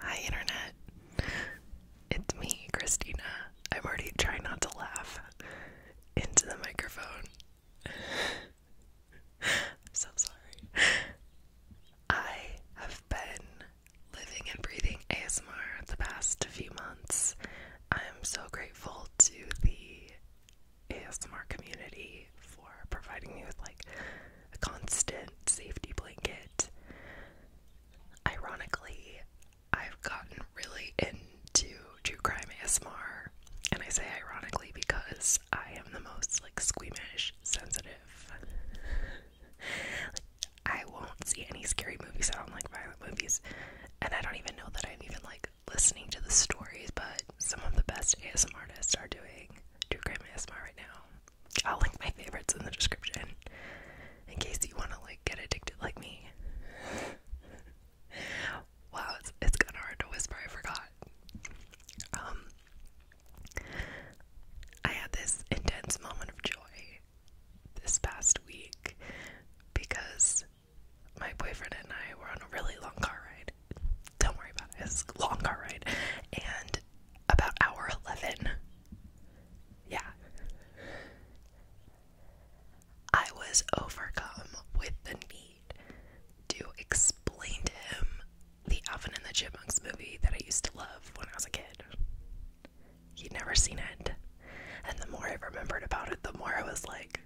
Hi, Internet. It's me, Christina. I'm already trying not to laugh into the microphone. I'm so sorry. I have been living and breathing ASMR the past few months. I'm so grateful to the ASMR community for providing me with like a constant safety blanket. Ironically, I've gotten really into true crime ASMR, and I say ironically because I am the most like squeamish, sensitive. I won't see any scary movies. I don't like violent movies, and I don't even know that I'm even like listening to the stories. But some of the best ASMR artists are doing true crime ASMR right now, I'll link my favorites in the description in case you want to like get addicted like me. wow, it's it's kind of hard to whisper. I forgot. Um, I had this intense moment of joy this past week because my boyfriend and I were on a really long car ride. Don't worry about it. long car ride, and about hour 11. Yeah. I was overcome with the need to explain to him the Alvin and the Chipmunks movie that I used to love when I was a kid. He'd never seen it. And the more I remembered about it, the more I was like,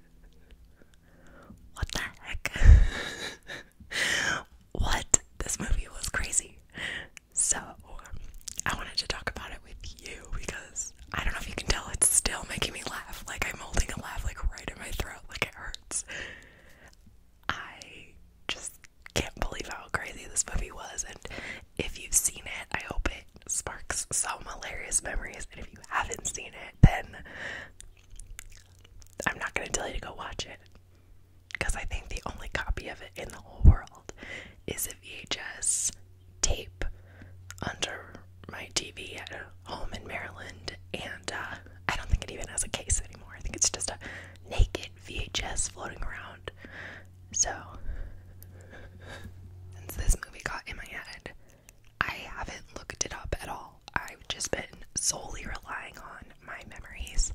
what the heck? what? This movie was crazy. So, I wanted to talk about it with you because I don't know if you can tell, it's still making me laugh. Like, I'm holding a laugh, like, right in my throat, like, it hurts. I just can't believe how crazy this movie was. And if you've seen it, I hope it sparks some hilarious memories. And if you haven't seen it, then I'm not going to tell you to go watch it because I think the only copy of it in the whole world is a VHS tape under my TV at home in Maryland, and uh, I don't think it even has a case anymore. I think it's just a naked VHS floating around. So, since this movie got in my head, I haven't looked it up at all. I've just been solely relying on my memories,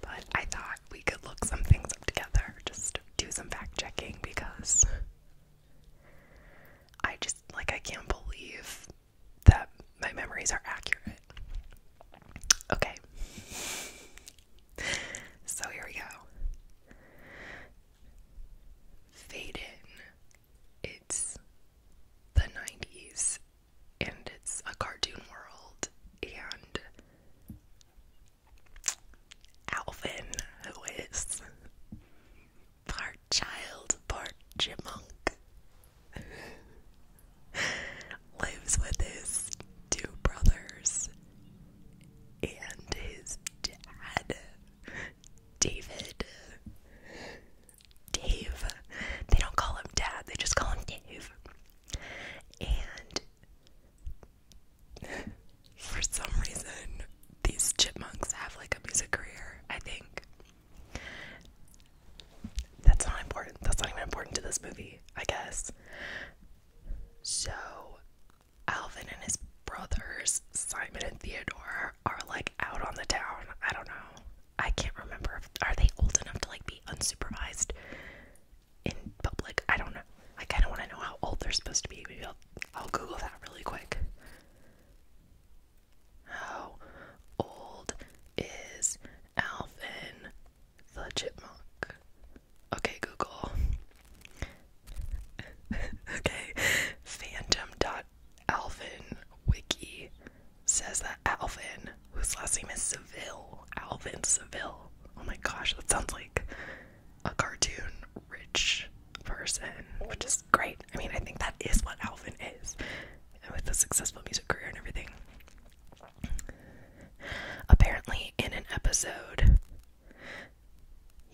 but I thought we could look some things up together, just do some fact checking because I just, like, I can't believe that my memories are accurate. Okay. So here we go. in. It's the 90s and it's a cartoon world and Alvin, who is part child, part chipmunk, lives with his two brothers and his dad, David. Dave. They don't call him dad, they just call him Dave. And for some reason, these chipmunks have like a music career, I think. That's not important. That's not even important to this movie, I guess. So, Alvin and his brothers, Simon and Theodore, are like out on the town. I don't know. I can't remember if are they old enough to like be unsupervised in public. I don't know. I kind of want to know how old they're supposed to be. Maybe I'll, Google that really quick. How old is Alvin the chipmunk? Okay, Google. okay, phantom.alvin wiki says that Alvin, whose last name is Seville, Alvin Seville. Oh my gosh, that sounds like a cartoon rich person, which is great. I mean, I think that is what Alvin is with a successful music career and everything. Apparently, in an episode,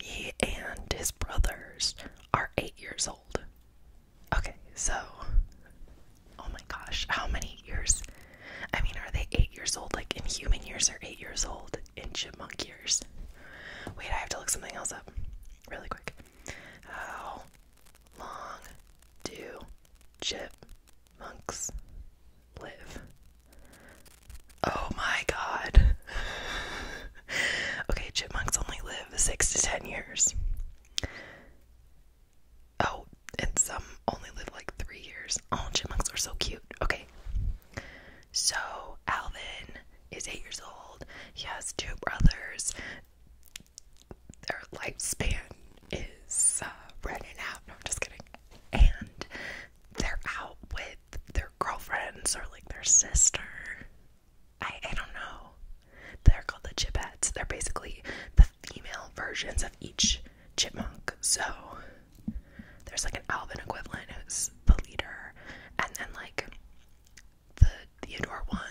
he and his brothers are eight years old. Okay, so oh my gosh, how many years? I mean, are they eight years old? Like in human years, or eight years old. In chipmunk years, wait, I have to look something else up really quick. How long do chipmunks live? Oh my god. okay, chipmunks only live six to ten years. Oh, and some only live like three years. All oh, chipmunks are so cute. Okay. So, Alvin is eight years old. He has two brothers. Their lifespan is uh, running out. No, I'm just kidding. And they're out with their girlfriends or like their sister. I, I don't know. They're called the Chipettes. They're basically the female versions of each chipmunk. So there's like an Alvin equivalent who's the leader, and then like the Theodore one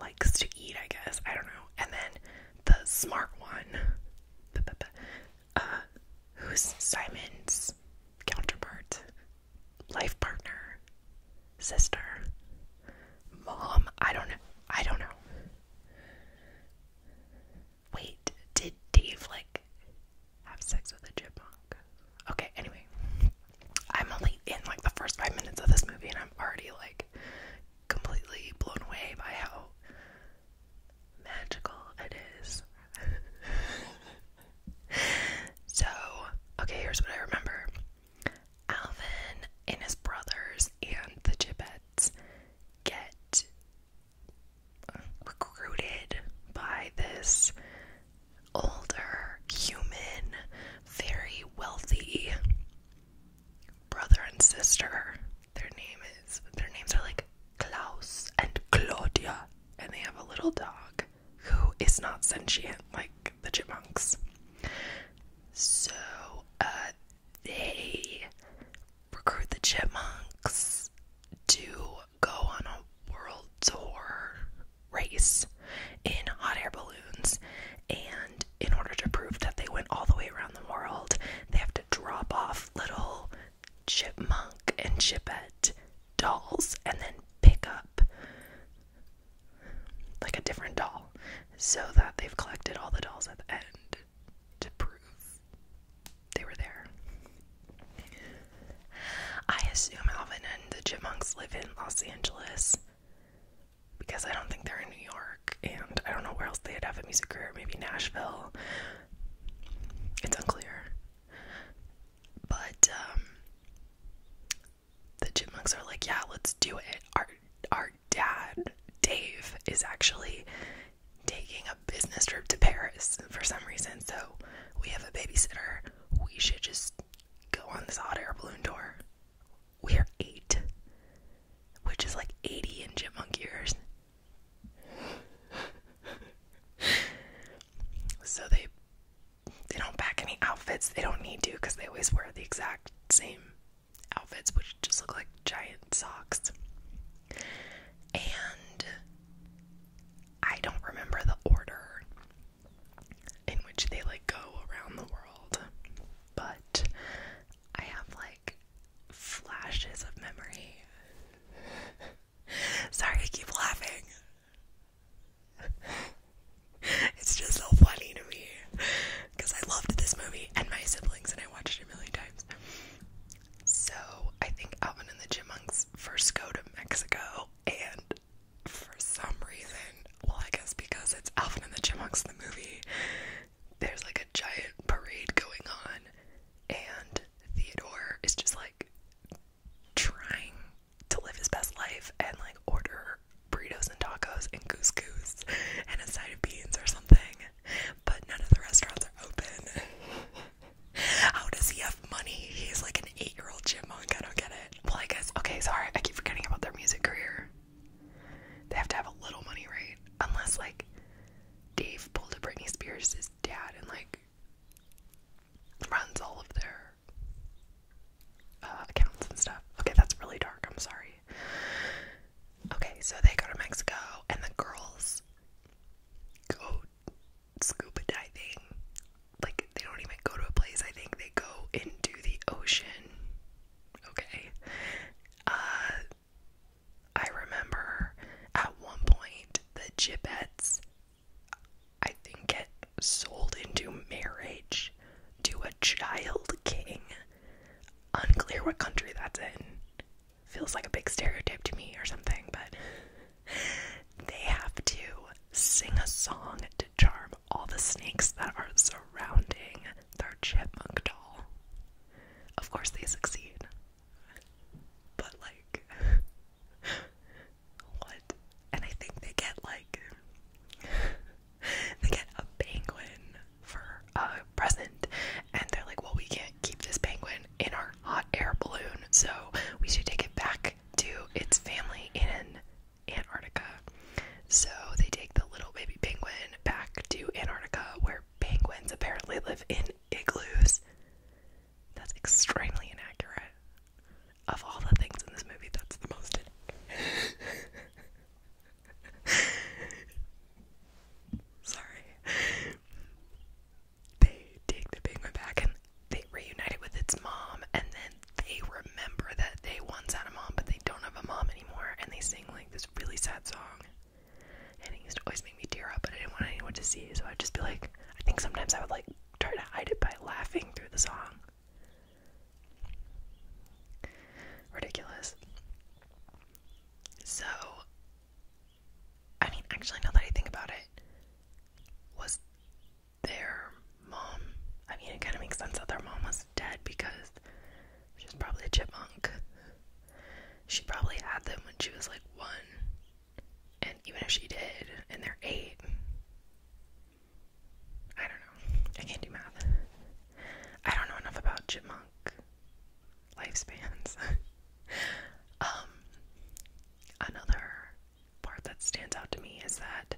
likes to eat, I guess. I don't know. And then the smart one, uh, who's Simon's counterpart, life partner, sister, mom. I don't know. I don't know. Wait, did Dave like have sex with a chipmunk? Okay, anyway. I'm only in like the first five minutes of this movie and I'm already like completely blown away by how magical it is. so, okay, here's what I remember Alvin and his brothers and the Chippet get uh, recruited by this older human, very wealthy brother and sister. Their name is their names are like Klaus and Claudia, and they have a little dog who is not sentient like the chipmunks. So, uh, they recruit the chipmunks to go on a world tour race in hot air balloons. And in order to prove that they went all the way around the world, they have to drop off little chipmunk and chipette dolls and then pick up like a different doll so that they've collected all the dolls at the end to prove they were there. I assume Alvin and the Chipmunks live in Los Angeles because I don't think they're in New York, and I don't know where else they'd have a music career, maybe Nashville. It's unclear. But um, the Chipmunks are like, yeah, let's do it. Our our dad, Dave, is actually taking a business trip to Paris for some reason. So we have a babysitter. We should just go on this hot air balloon tour. We are eight, which is like 80 in Jim chipmunk years. so they they don't pack any outfits. They don't need to because they always wear the exact same outfits, which just look like giant socks. And I don't remember the order in which they like go around the world, but I have like flashes of memory. Sorry, I keep laughing. It's just so funny to me because I loved this movie and my siblings, and I watched watched it a million times. So I think Alvin and the Chipmunks first go to Mexico, and for some reason, well, I guess because it's Alvin and the Chipmunks, the movie, there's like a giant parade going on, and Theodore is just like trying to live his best life and like order burritos and tacos and couscous and a side of beans or something but none of the restaurants are open. How does he have money? He's like an eight year old chipmunk. I don't get it. Well, I guess, okay, sorry. I keep forgetting about their music career. They have to have a little money, right? Unless, like, Dave pulled a Britney Spears' dad and, like, runs all of their uh, accounts and stuff. Okay, that's really dark. I'm sorry. Okay, so they go to Mexico and the girls go scuba diving. Like, they don't even go to a place, I think they go into the ocean. Okay. Uh, I remember at one point the Gibbets, I think, get sold into marriage to a child king Unclear what country that's in. Feels like a big stereotype to me or something, but they have to sing a song to charm all the snakes that are surrounding their chipmunk doll. Of course, they succeed. But, like, what? And I think they get, like, they get a penguin for a present and they're like well we can't keep this penguin in our hot air balloon so we should take it back to its family in Antarctica so they take the little baby penguin back to Antarctica where penguins apparently live in igloos that's extremely inaccurate of all the things in this movie that's the most Sorry. They take the pigment back and they reunite with its mom, and then they remember that they once had a mom, but they don't have a mom anymore, and they sing like this really sad song. And it used to always make me tear up, but I didn't want anyone to see, so I'd just be like, I think sometimes I would like try to hide it by laughing through the song. Ridiculous. So, I mean, actually, now that I think about it, was their mom. I mean, it kind of makes sense that their mom was dead because she's probably a chipmunk. She probably had them when she was like one. And even if she did, and they're eight, I don't know. I can't do math. I don't know enough about chipmunk lifespans. Um, another part that stands out to me is that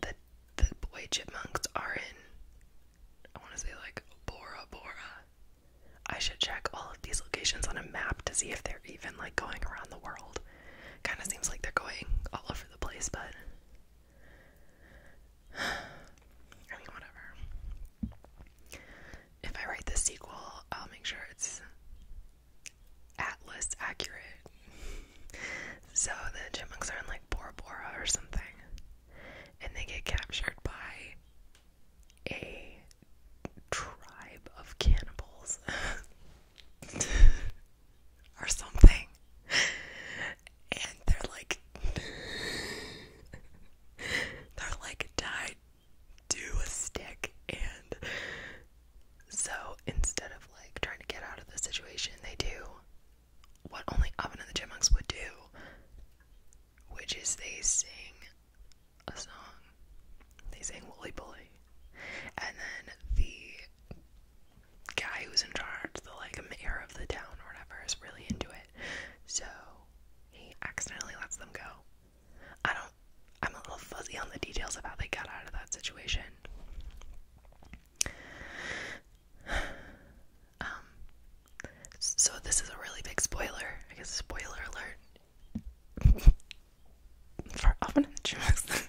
the the boy chipmunks are in. I want to say like Bora Bora. I should check all of these locations on a map to see if they're even like going around the world. Kind of seems like they're going all over the place, but I mean, whatever. If I write the sequel, I'll make sure it's Atlas accurate. so the chipmunks are in like Bora Bora or something, and they get captured by a tribe of cannibals or something and they're like they're like die, do a stick and so instead of like trying to get out of the situation they do what only Oven and the Chipmunks would do which is they sing a song. They sing "Willy Billy," And then the guy who's in charge, the like mayor of the town or whatever, is really into it. So he accidentally lets them go. I don't, I'm a little fuzzy on the details of how they got out of that situation. Um, so this is a really big spoiler. I guess spoiler alert. For often in the jukebox.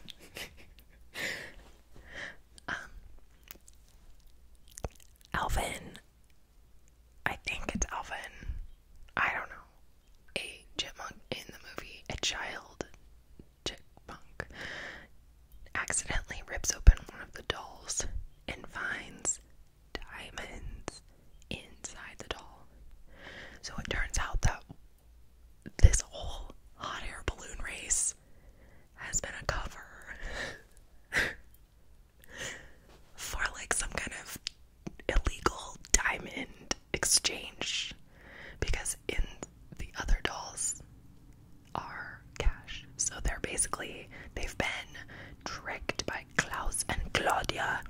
um, Alvin I think it's Alvin. I don't know. A chipmunk in the movie, a child chipmunk accidentally rips open one of the dolls and finds diamonds inside the doll. So it turns out that this whole hot air balloon race has been a cover. for like some kind of illegal diamond exchange because in the other dolls are cash. So they're basically, they've been tricked by Klaus and Claudia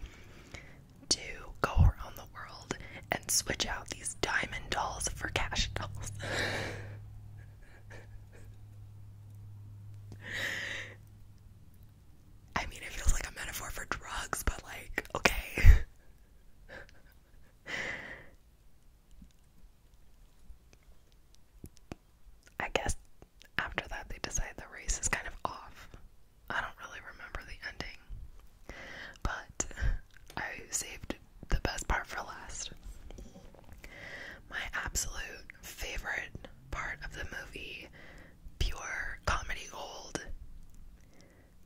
to go around the world and switch out these diamond dolls for cash dolls. I mean, it feels like a metaphor for drugs, but like, okay. I guess after that, they decide the race is kind of off. I don't really remember the ending, but I saved the best part for last. My absolute favorite part of the movie, pure comedy gold.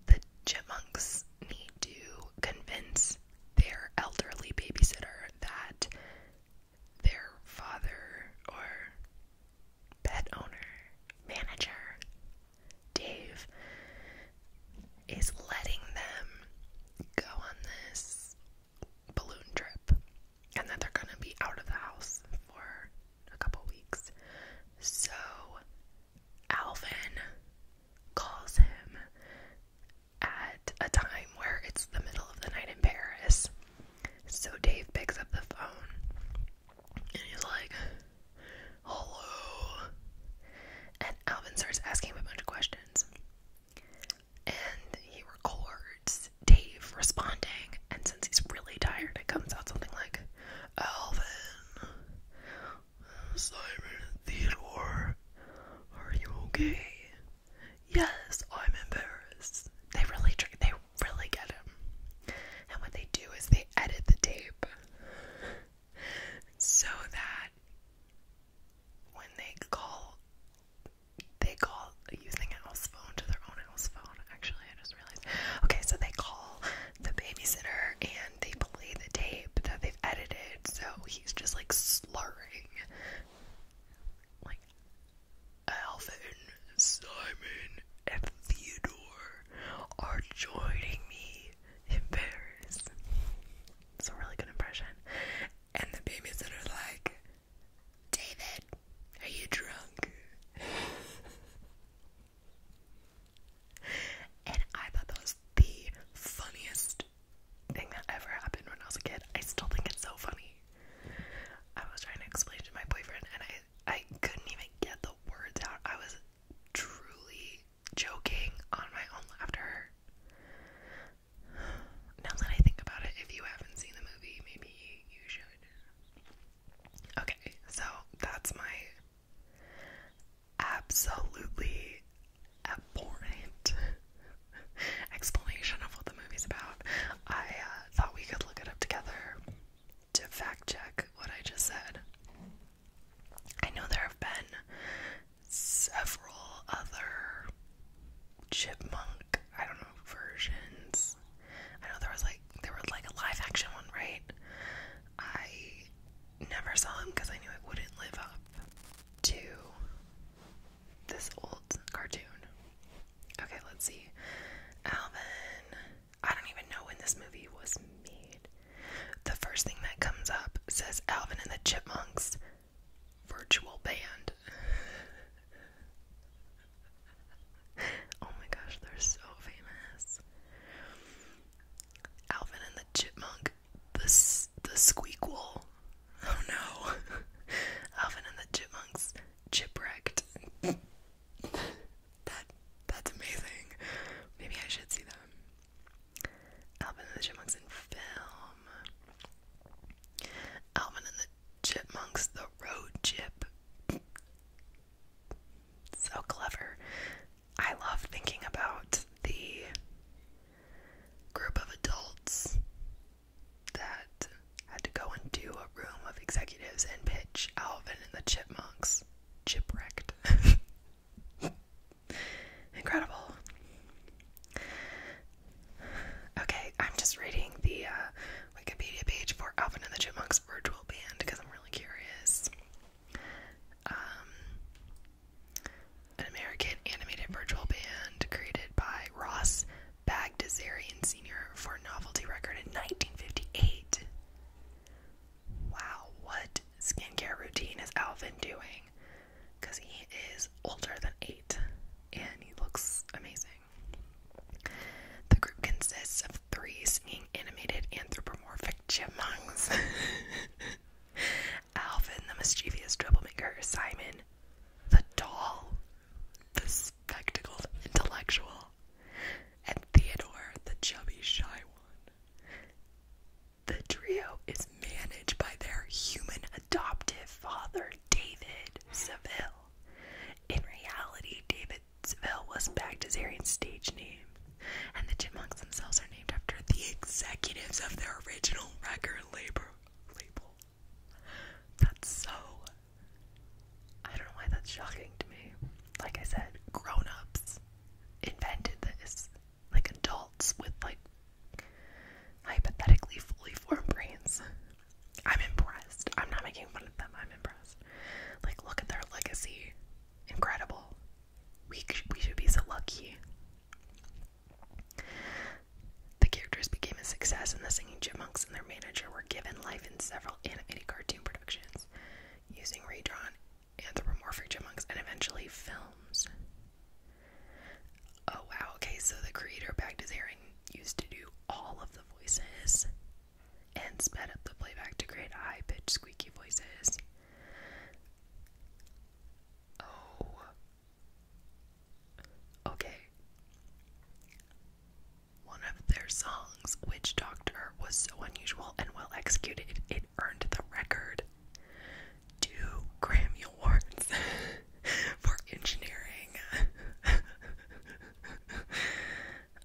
The Jimmunks need to convince their elderly babysitter that their father or pet owner, manager, Dave, is letting them go on this balloon trip, and then they're gonna be out of the house for a couple weeks. So Alvin calls him at a time where it's the middle of the night in Paris. So Dave picks up the phone and he's like, Hello. And Alvin starts asking him a bunch of questions and he records Dave responding. And since he's really tired, it comes out something like Alvin, Simon, Theodore, are you okay? Yes, I'm embarrassed. They really try, they really get him. And what they do is they edit the tape so that when they call they call using a house phone to their own house phone. Actually, I just realized. Okay, so they call the babysitter and they play the tape that they've edited. So he's just like slurring, like Alvin, Simon, and Theodore are joining me in Paris. It's a really good impression. And the babysitter like David, are you drunk? and I thought that was the funniest thing that ever happened when I was a kid. I still think it's so funny. I was trying to explain to my boyfriend and I I couldn't even get the words out. I was truly joking on my own laughter. Now that I think about it, if you haven't seen the movie, maybe you should. Okay, so that's my absolutely abhorrent explanation of what the movie's about. I uh, thought we could look it up together to fact check what I just said. I know there have been several other chipmunk I don't know versions. I know there was like there was like a live action one, right? I never saw him because I knew it wouldn't live up to this old cartoon. Okay, let's see. Alvin. I don't even know when this movie was made. The first thing that comes up says Alvin and the Chipmunks virtual band. oh my gosh, they're so famous. Alvin and the Chipmunk, the the Squeakquel. Oh no, Alvin and the Chipmunks, Chipwrecked. that that's amazing. Maybe I should see them. Alvin and the Chipmunks in film. Alvin and the Chipmunks, the road chip. So clever. I love thinking about the group of adults that had to go into a room of executives and pitch Alvin and the Chipmunks. Chipwrecked. Incredible. Okay, I'm just reading the uh, Wikipedia page for Alvin and the Chipmunks virtual band because I'm really curious. Um, an American animated virtual band created by Ross Bagdasarian Sr. for Novelty Record in 1958. Wow, what skincare routine is Alvin doing? Because he is older than eight and he looks amazing. The group consists of three singing animated anthropomorphic chipmunks Alvin, the mischievous troublemaker, Simon, the doll, the spectacled intellectual, and Theodore, the chubby shy one. The trio is managed by their human adoptive father, David Seville. In reality, David Seville was Bactazarian's stage name, and the Chipmunks themselves are named after the executives of their original record label. That's so. I don't know why that's shocking to me. Like I said, grown ups invented this. Like adults with, like, hypothetically fully formed brains I'm impressed. I'm not making fun of them. I'm impressed. Like, look at their legacy. Incredible. We we should be so lucky. The characters became a success, and the Singing Chipmunks and their manager were given life in several animated cartoon productions, using redrawn anthropomorphic chipmunks and eventually films. Oh wow, okay, so the creator backed his airing used to do all of the voices and sped up the playback to create high pitched squeaky voices. Oh. Okay. One of their songs, Witch Doctor, was so unusual and well executed, it earned the record. Two Grammy for engineering.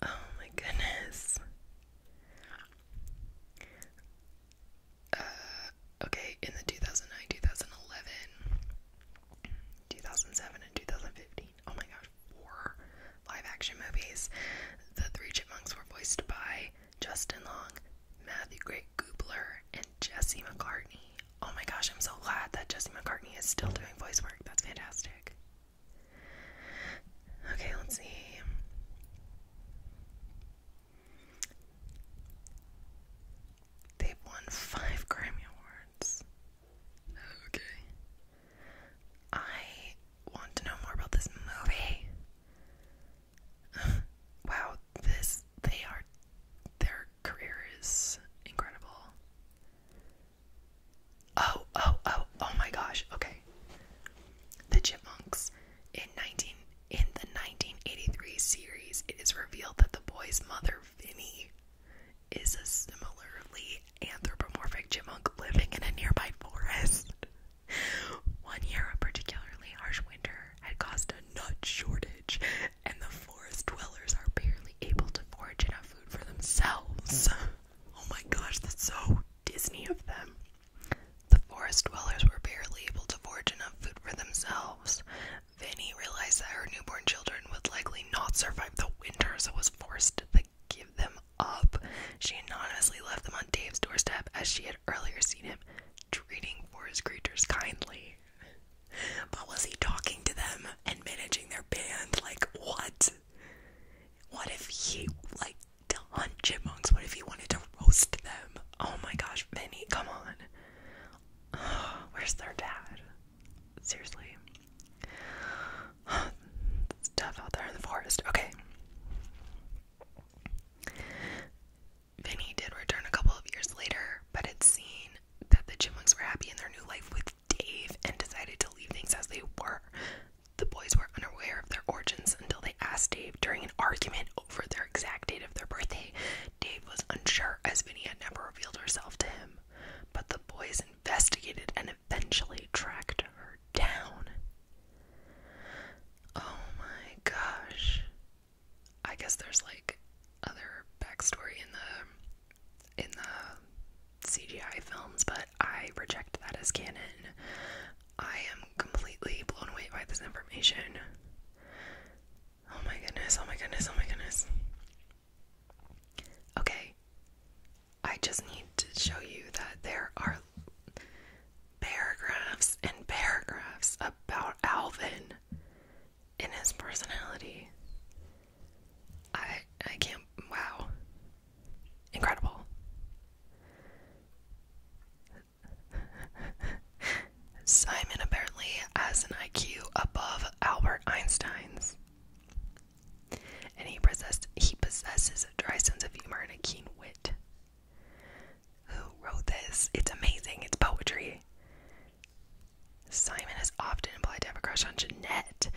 oh my goodness. Uh, okay, in the 2009, 2011, 2007, and 2015, oh my gosh, four live action movies. The Three Chipmunks were voiced by Justin Long, Matthew Great Goobler, and Jesse McCartney. Oh my gosh, I'm so glad that Jesse McCartney is still doing voice work. That's fantastic. Okay, let's see. they won five Grammy Awards. Okay. I want to know more about this movie. wow, this they are their career is incredible. Oh, oh, oh, oh my gosh. Okay. The Chipmunks in 19 in the 1983 series, it is revealed that the boy's mother Vinny is a similarly anthropomorphic chipmunk living in a nearby forest. One year, a particularly harsh winter had caused a nut shortage, and the forest dwellers are barely able to forage enough food for themselves. Oh my gosh, that's so Disney of them. The forest dwellers were barely able to forage enough food for themselves. Vinny realized that her newborn children would likely not survive the winter, so was forced to give them up. She anonymously left them on Dave's doorstep as she had earlier seen him treating forest creatures kindly. But was he talking to them and managing their band? Like, what? What if he, like, to hunt chipmunks? What if he wanted to roast them? Oh my gosh, Vinny, come on. where's their dad? Seriously. stuff out there in the forest. Okay. Vinny did return a couple of years later, but it's seen that the Chipmunks were happy in their new life with Dave and decided to leave things as they were. The boys were unaware of their origins until they asked Dave during an argument over their exact date of their birthday. Dave was unsure as Vinny had never revealed herself to him, but the boys investigated and eventually tracked her down. Oh my gosh. I guess there's like other backstory in the in the CGI films, but I reject that as canon. I am completely blown away by this information. Oh my goodness, oh my goodness, oh my goodness. Okay, I just need to show you that there are paragraphs and paragraphs about Alvin in his personality. I I can't wow. Incredible. Simon apparently has an IQ above Albert Einstein's. And he possessed he possesses a dry sense of humor and a keen wit. Who wrote this? It's amazing. It's poetry. Simon has often implied to have a crush on Jeanette,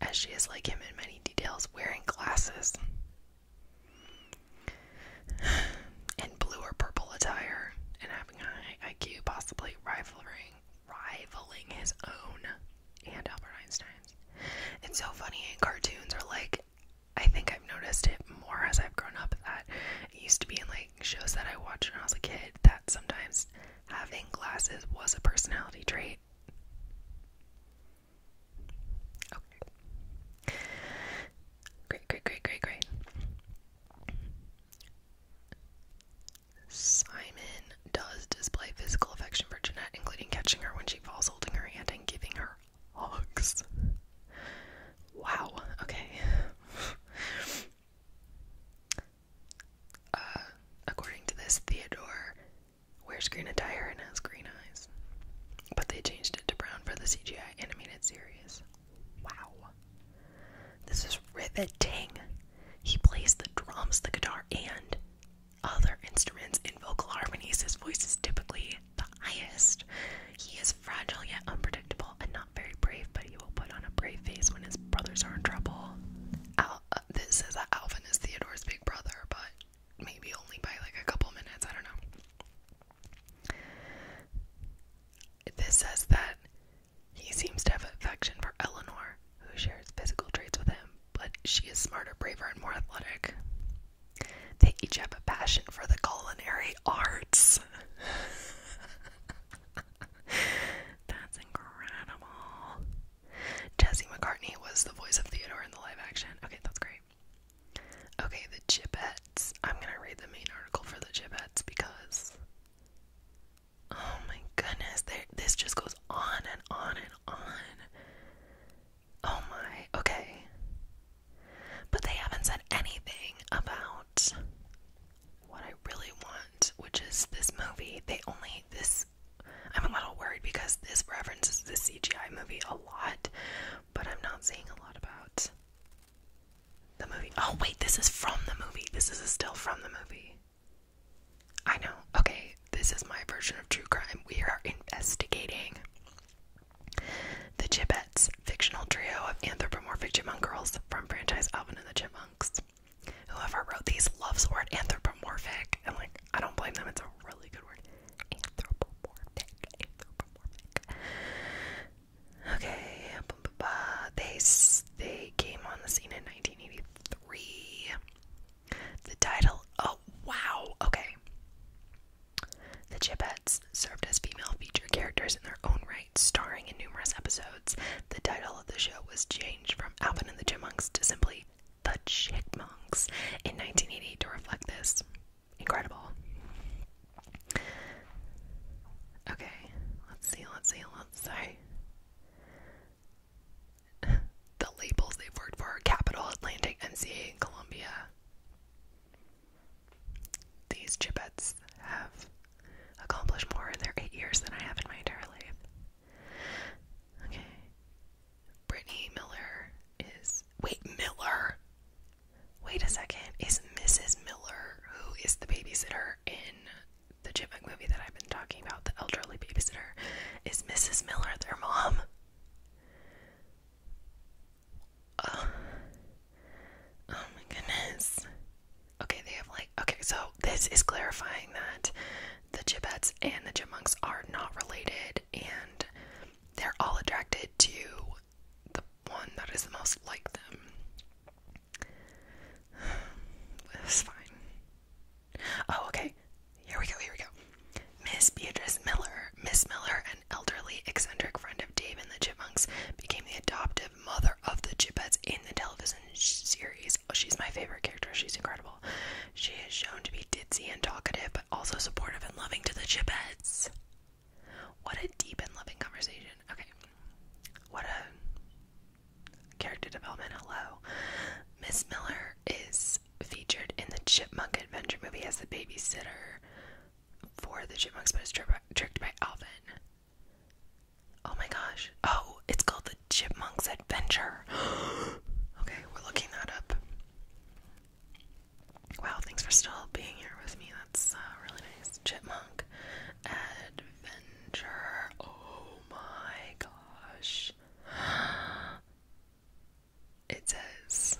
as she is like him in many details, wearing glasses in blue or purple attire, and having high IQ, possibly rivaling rivaling his own and Albert Einstein's. It's so funny in cartoons, or like I think I've noticed it more as I've grown up that it used to be in like shows that I watched when I was a kid that sometimes having glasses was a personality trait. Okay. Great, great, great, great, great. Simon does display physical affection for Jeanette, including catching her when she falls, holding her hand, and giving her hugs. Wow, okay. Uh, according to this, Theodore wears green attire and has green eyes. But they changed it to brown for the CGI animated series. Wow. This is riveting. He plays the drums, the guitar, and other instruments in vocal harmonies. His voice is typically the highest. He is fragile yet unpredictable, a very brave, but he will put on a brave face when his brothers are in trouble. Al uh, this says that Alvin is Theodore's big brother, but maybe only by like a couple minutes. I don't know. This says that he seems to have affection for Eleanor, who shares physical traits with him, but she is smarter, braver, and more athletic. They each have a passion for the culinary arts. That's incredible. Jesse McCartney was the voice of Theodore in the live action. Okay, that's great. Okay, the Chipettes. I'm gonna read the main article for the Chipettes because. Oh my goodness, this just goes on and on and on. Oh my, okay. But they haven't said anything about what I really want, which is this movie. They only this I'm a little worried because this references the CGI movie a lot, but I'm not seeing a lot about the movie. Oh wait, this is from the movie. This is still from the movie. I know. Okay, this is my version of true crime. We are investigating the Chipettes, fictional trio of anthropomorphic chipmunk girls from franchise Alvin and the Chipmunks. Whoever wrote these loves word anthropomorphic, and like I don't blame them. It's a really good word. Anthropomorphic. Anthropomorphic. Okay. They they came on the scene in 1983. The title. Oh wow. Okay. The Chipettes served as female feature characters in their own right starring in numerous episodes, the title of the show was changed from Alvin and the Chipmunks to simply The Chickmunks in 1988 to reflect this. Incredible. Okay, let's see, let's see, let's see. the labels they've worked for are Atlantic, MCA, and Columbia. These chipettes have accomplish more in their eight years than I have in my entire life. Okay. Brittany Miller is. Wait, Miller? Wait a second. Is Mrs. Miller, who is the babysitter in the Chipmunk movie that I've been talking about, the elderly babysitter, is Mrs. Miller their mom? oh my goodness. Okay, they have like okay, so this is clarifying that the Gibbets and the Chipmunks are not related and they're all attracted to the one that is the most like them. It's fine. Oh, okay. Here we go, here we go. Miss Beatrice Miller. Miss Miller, an elderly, eccentric friend of Dave and the Chipmunks, became the adoptive mother of the Chipettes in the television series. Oh, she's my favorite character. She's incredible. She is shown to be ditzy and talkative, but also supportive and loving to the Chipettes. What a deep and loving conversation. Okay. What a character development. Hello. Miss Miller is featured in the Chipmunk Adventure movie as the babysitter for the Chipmunks, but is tricked by Alvin. Oh my gosh. Oh, it's called The Chipmunk's Adventure. okay, we're looking that up. Wow, thanks for still being here with me. That's uh, really nice. Chipmunk Adventure. Oh my gosh. It says,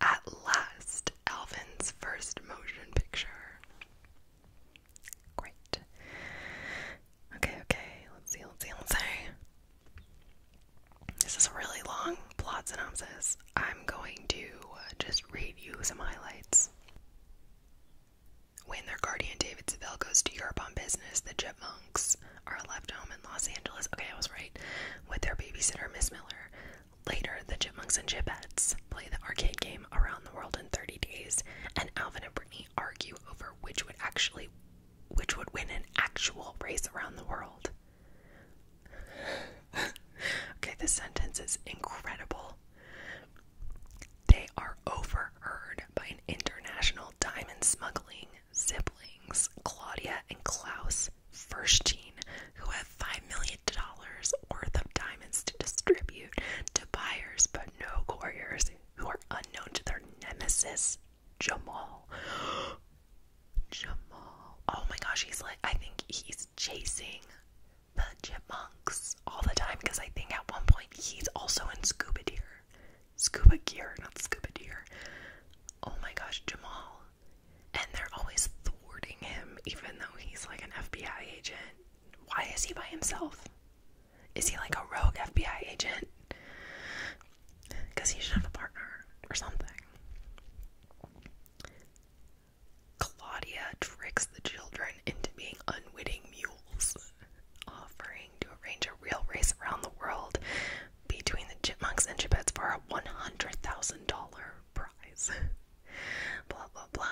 At last, Alvin's first motion picture. Great. Okay, okay, let's see, let's see, let's see. This is a really long plot synopsis. I'm going to just read you some highlights. When their guardian David Zabel goes to Europe on business, the Chipmunks are left home in Los Angeles. Okay, I was right. With their babysitter, Miss Miller. Later, the Chipmunks and Chipettes play the arcade game around the world in 30 days, and Alvin and Brittany argue over which would actually which would win an actual race around the world. okay, this sentence is incredible. They are overheard by an international diamond smuggling siblings, Claudia and Klaus Verstein, who have $5 million worth of diamonds to distribute to buyers but no couriers who are unknown to their nemesis, Jamal. Jamal. Oh my gosh, he's like, I think he's chasing the chipmunks all the time because I think at one point he's also in scuba gear. Scuba gear, not scuba gear. Oh my gosh, Jamal. And they're always thwarting him, even though he's like an FBI agent why is he by himself? Is he like a rogue FBI agent? Because he should have a partner or something. Claudia tricks the children into being unwitting mules, offering to arrange a real race around the world between the chipmunks and chipettes for a $100,000 prize. Blah blah blah.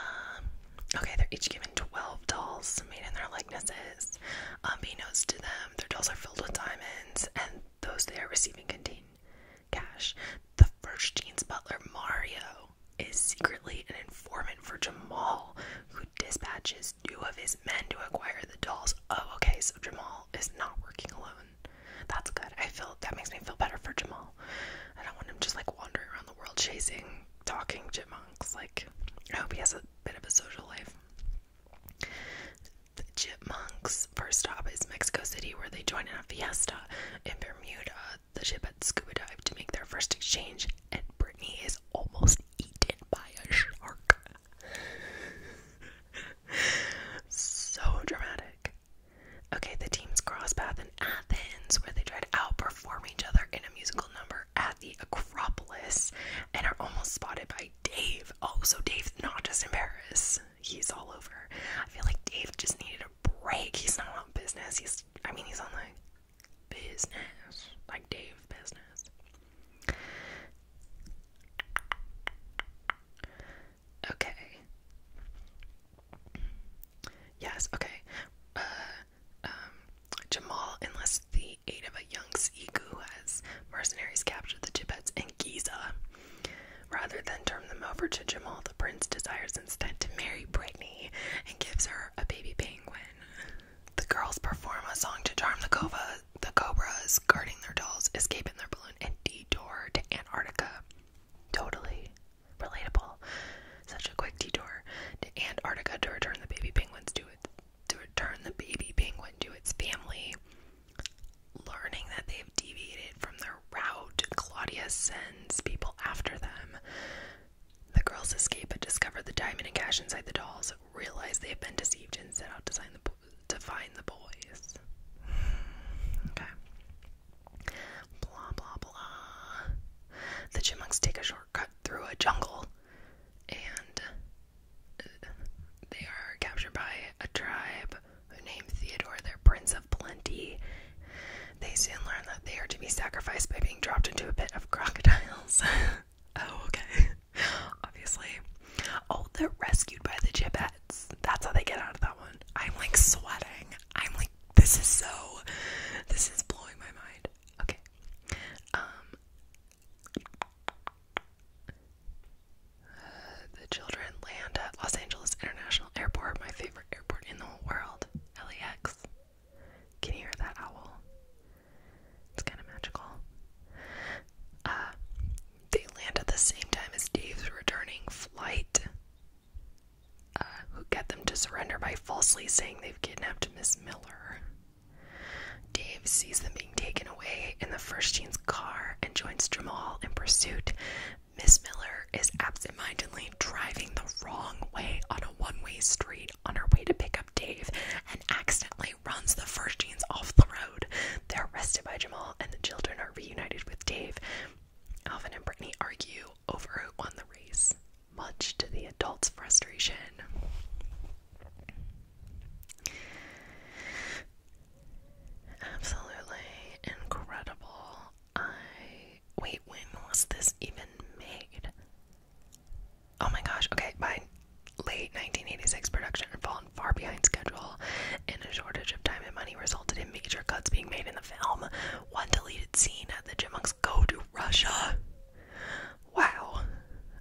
Okay, they're each given 12 dolls made in their likenesses. Unbeknownst um, to them, their dolls are filled with diamonds, and those they are receiving contain cash. The first jeans butler, Mario, is secretly an informant for Jamal, who dispatches two of his men to acquire the dolls. Oh, okay, so Jamal is not working alone. That's good. I feel that makes me feel better for Jamal. I don't want him just like wandering around the world chasing talking chipmunks. Like, I hope he has a bit of a social life. The chipmunks' first stop is Mexico City, where they join in a fiesta. In Bermuda, the Chipettes scuba dive to make their first exchange, and Brittany is almost eaten by a shark. so dramatic. Okay, the teams cross path Athens, where they try to outperform each other in a musical number at the Acropolis and are almost spotted by Dave. Oh, so Dave's not just in Paris, he's all over. I feel like Dave just needed a break. He's not on business. He's, I mean, he's on like business, like Dave business. Okay. Yes, okay. Uh, um, Jamal enlists the aid of a young Sigu as mercenaries capture the Tibets in Giza. Rather than turn them over to Jamal, the prince desires instead to marry Brittany and gives her a baby penguin. The girls perform a song to charm the cova, the cobras guarding their dolls, escape in their balloon, and detour to Antarctica. Totally relatable. Such a quick detour to Antarctica to return the baby penguins to its to return the baby penguin to its family. Learning that they've deviated from their route, Claudia sends people after them. The girls escape but discover the diamond and cash inside the dolls. Realize they have been deceived and set out to find the to find the boys. Okay. Blah blah blah. The chipmunks take a shortcut through a jungle and uh, they are captured by a tribe who named Theodore their Prince of Plenty. They soon learn that they are to be sacrificed by being dropped into a pit of crocodiles. oh, okay. Obviously. Oh, they're rescued by the gibbets. That's how they get out of that one. I'm like sweating. I'm like, this is so. This is blowing my mind. Okay. Um, the children land at Los Angeles International Airport, my favorite airport in the whole world. LAX. Can hear that owl? It's kind of magical. Uh, they land at the same time as Dave's returning flight who get them to surrender by falsely saying they've kidnapped Miss Miller. Dave sees them being taken away in the first jean's car and joins Jamal in pursuit. Miss Miller is absentmindedly driving the wrong way on a one-way street on her way to pick up Dave and accidentally runs the first jeans off the road. They're arrested by Jamal and the children are reunited with Dave. Alvin and Brittany argue overwho won the race, much to the adults' frustration. Absolutely incredible. I. Wait, when was this even made? Oh my gosh, okay, by late 1986, production had fallen far behind schedule, and a shortage of time and money resulted in major cuts being made in the film. One deleted scene at the Chipmunks go to Russia. Wow.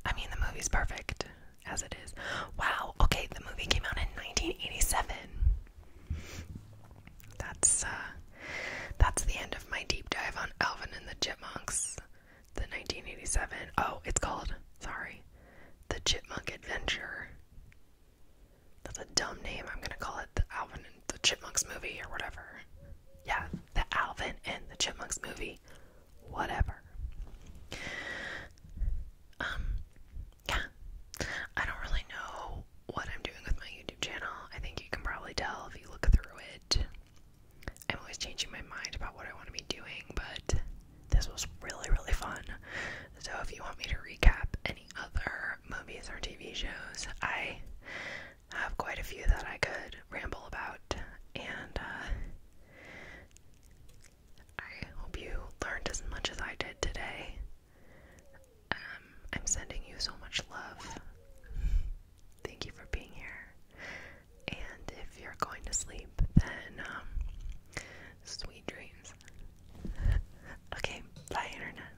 I mean, the movie's perfect as it is. Wow. Okay, the movie came out in 1987. That's uh that's the end of my deep dive on Alvin and the Chipmunks. The 1987. Oh, it's called, sorry, The Chipmunk Adventure. That's a dumb name. I'm going to call it the Alvin and the Chipmunks movie or whatever yeah, the Alvin and the Chipmunks movie, whatever. Um, yeah, I don't really know what I'm doing with my YouTube channel. I think you can probably tell if you look through it. I'm always changing my mind about what I want to be doing, but this was really, really fun. So if you want me to recap any other movies or TV shows, I have quite a few that I could ramble about, and uh, I hope you learned as much as I did today. Um, I'm sending you so much love. Thank you for being here. And if you're going to sleep, then um, sweet dreams. okay, bye, Internet.